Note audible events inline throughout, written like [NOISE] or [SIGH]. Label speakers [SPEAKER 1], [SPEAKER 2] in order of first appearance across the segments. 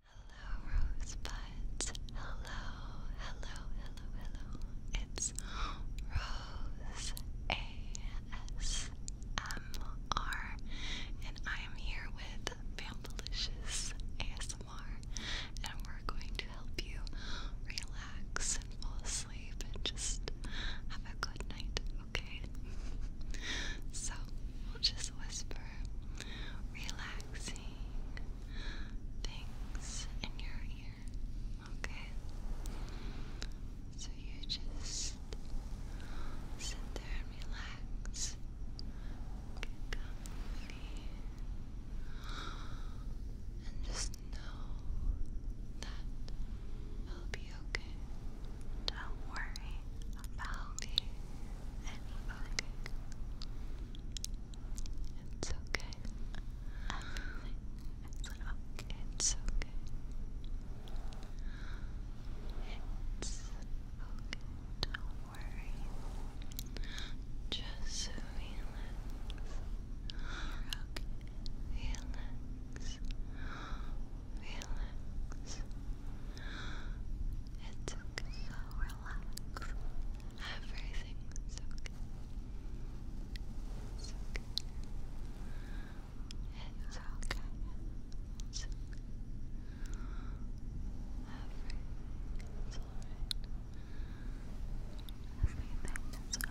[SPEAKER 1] Hello, Rosebuds. Hello, hello, hello, hello. It's
[SPEAKER 2] Rose ASMR, and I am here with Bambalicious ASMR, and we're going to help you relax and fall asleep and just have a good night,
[SPEAKER 3] okay? [LAUGHS] so, we will just whisper relaxing things in your ear,
[SPEAKER 4] okay? So you just sit there and relax. Get And just know that it'll be don't worry about anything. It's okay. Everything okay. It's okay. It's okay. Don't worry. Just relax. Relax. Relax. It's so relax. Everything's okay. It's It's okay. It's okay. Everything's alright. Everything is okay.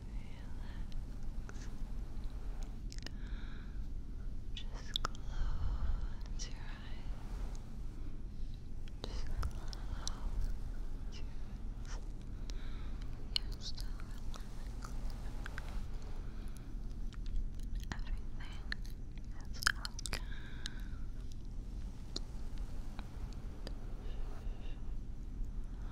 [SPEAKER 4] Just close your eyes. Just close your eyes. you Everything is okay.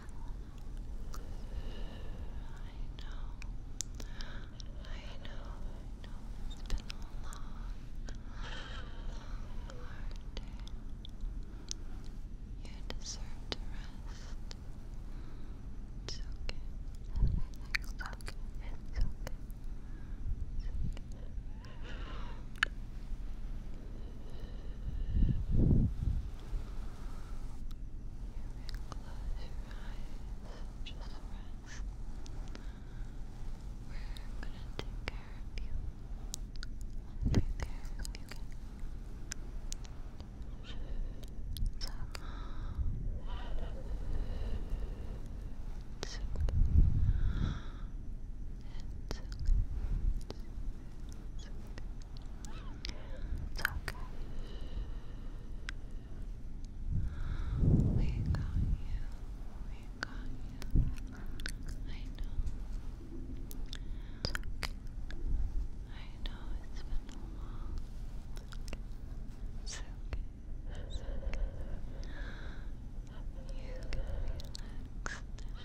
[SPEAKER 4] I know, I know, it's been a long, hard day. You deserve to rest. It's okay. Everything's okay. It's okay. It's okay. You close your eyes and just rest. We're gonna take care of you. we care of you. So, it's okay. It's okay. It's okay. It's okay. It's okay. We got you. We got you. I know. It's okay. I know it's been a long It's okay. It's okay. You can relax. It's okay.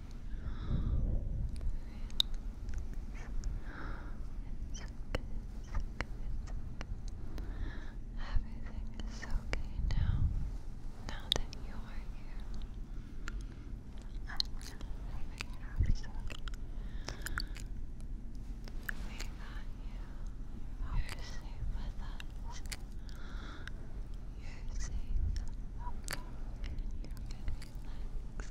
[SPEAKER 4] Everything is okay now. Now that you are here, I'm having so We got you. You're safe with us. You're safe. Okay. You can relax.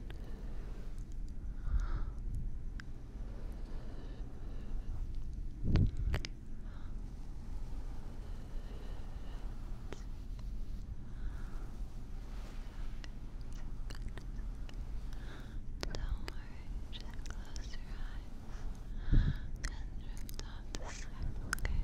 [SPEAKER 5] close your eyes and drift off to sleep, okay?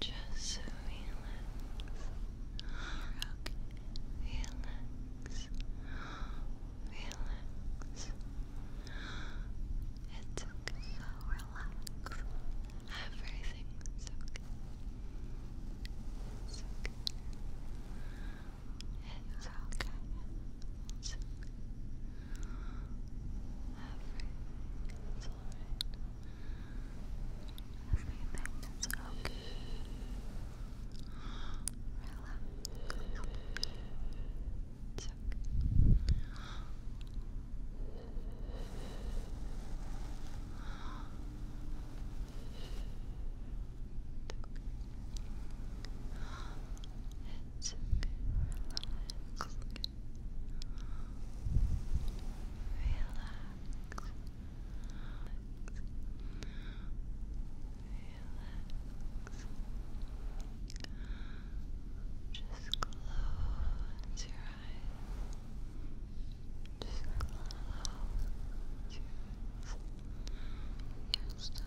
[SPEAKER 5] Just relax. You're okay. Relax. Relax. It's okay. relax. Everything's okay. okay. It's okay. okay. Everything's alright. Everything is okay. Relax. It's okay. It's okay, relax. Just close your eyes. Just close your eyes. you Everything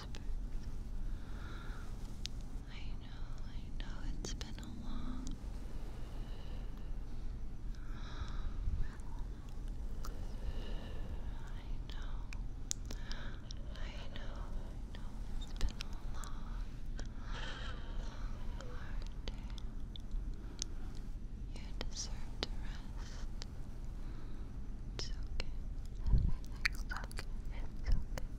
[SPEAKER 5] whispers. I know, I know it's been a long long, day. You deserve to rest. It's okay. Everything's okay. It's okay.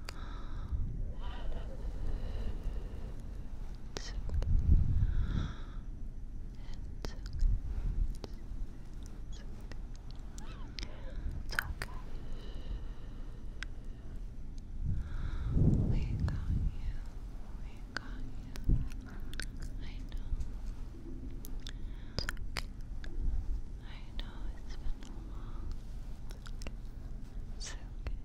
[SPEAKER 5] It's okay. We got you. We got you. I know. It's okay. I know it's been a long. It's okay.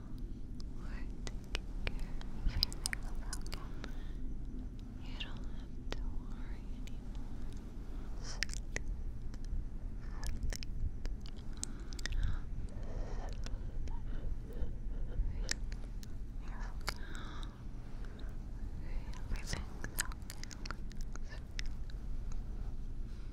[SPEAKER 5] or taking care of anything You don't have to worry anymore. Everything's okay. Everything's okay.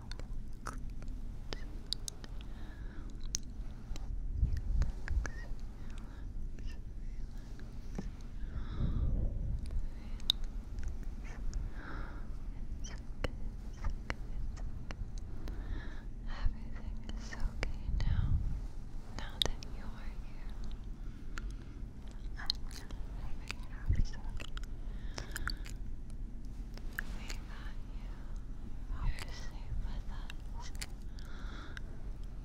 [SPEAKER 5] Everything is okay now. Now that you are here. We got you. You're with us.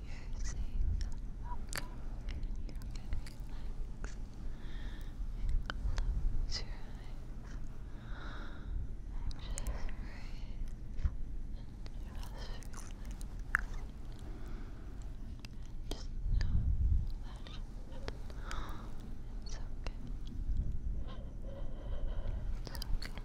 [SPEAKER 5] You're safe. Okay. You can relax and close your eyes. And just breathe and just just know that it's okay. It's okay.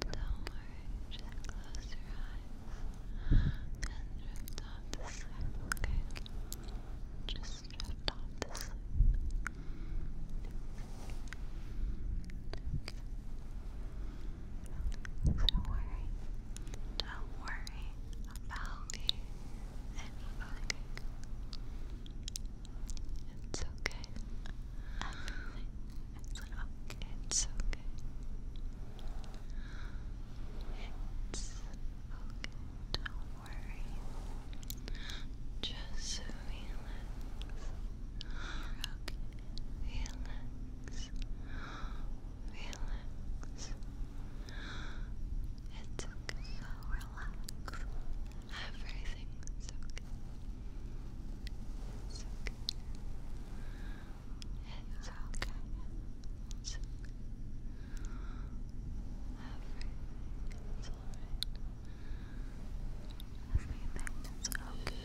[SPEAKER 5] Don't worry, just close your eyes and drift off to okay? Just drift off to sleep. worry. Don't worry about me It's okay. Everything it's okay. It's okay. It's okay. Don't worry. Just relax. Okay. Relax. Relax. It's okay. relax. Everything's okay. okay. It's okay. It's okay. Everything's okay. Relax. It's okay.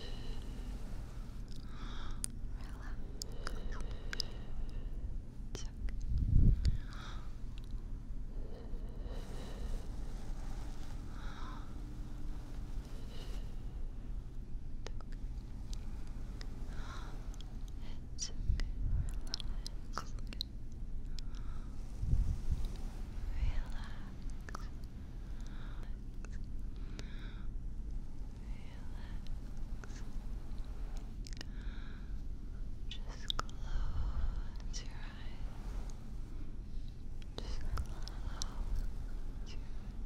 [SPEAKER 5] It's okay. Relax. Relax. Just close your eyes. Just close your eyes.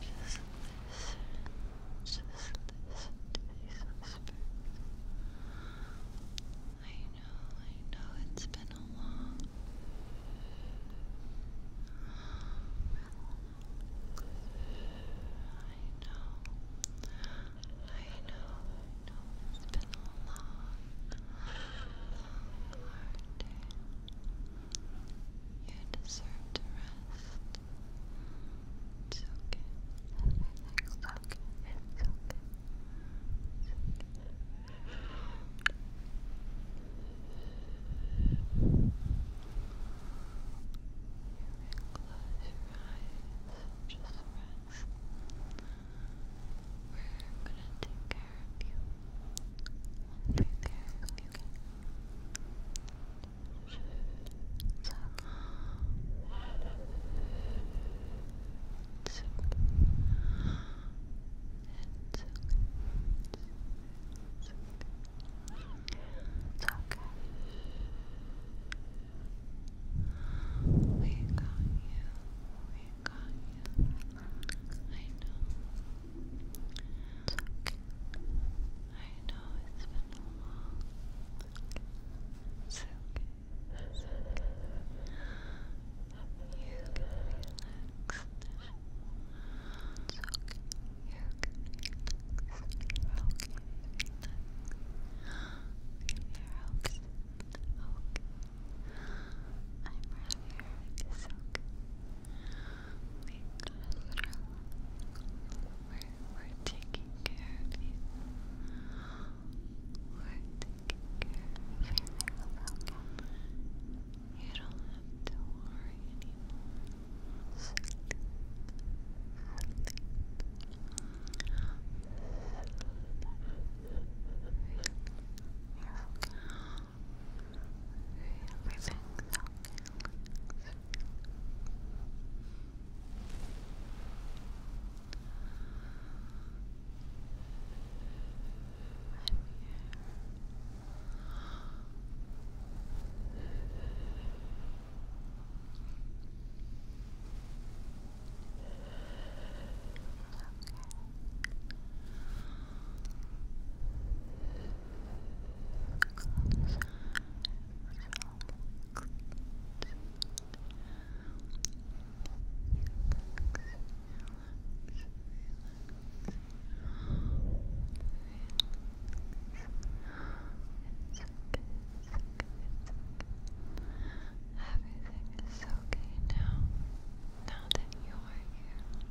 [SPEAKER 5] Just listen. Just listen to these whispers. I know, I know it's been a long long, day. You deserve to rest. It's okay. Everything's okay. It's okay. It's okay. Close your eyes and just rest. We're gonna take care of you right there. Okay. So, it's okay. It's okay. It's okay. It's okay. We got you. We got you. I know. Okay. I know it's been a long It's okay. It's okay. You can relax. It's okay. You can relax. You're okay. Relax. You're okay. Okay. I'm right here. It's okay. We're, taking care of you. We're taking care of you. You don't have to worry anymore. Everything's okay. I'm Everything is okay now. Now that you are here,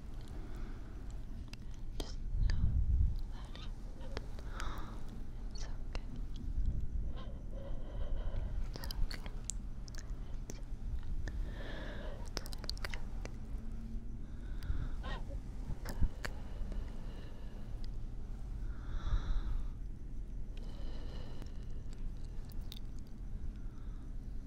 [SPEAKER 6] Just no It's okay. It's okay. It's okay. It's okay. It's okay.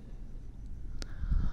[SPEAKER 6] You can sleep, sleep,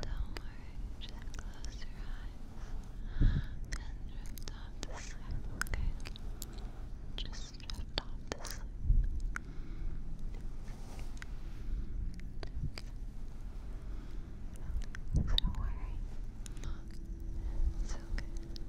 [SPEAKER 6] Don't worry, just close your eyes and drift off to sleep, okay? Just drift off to sleep. Don't worry. It's okay.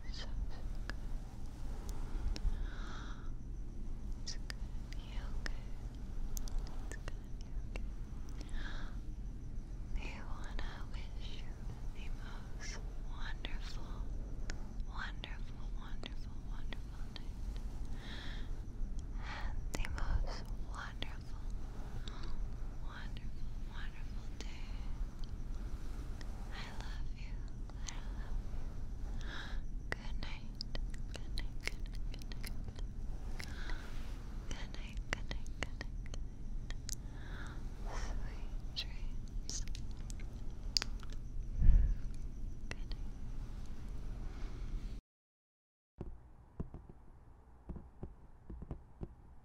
[SPEAKER 6] so, good. It's gonna be okay. It's gonna be okay. We wanna wish you the most wonderful, wonderful, wonderful, wonderful night. And the most wonderful, wonderful, wonderful day. I love you. Good night. Good night. Good night. Good night. Good night. Good night. Good night. Sweet dreams. Good night.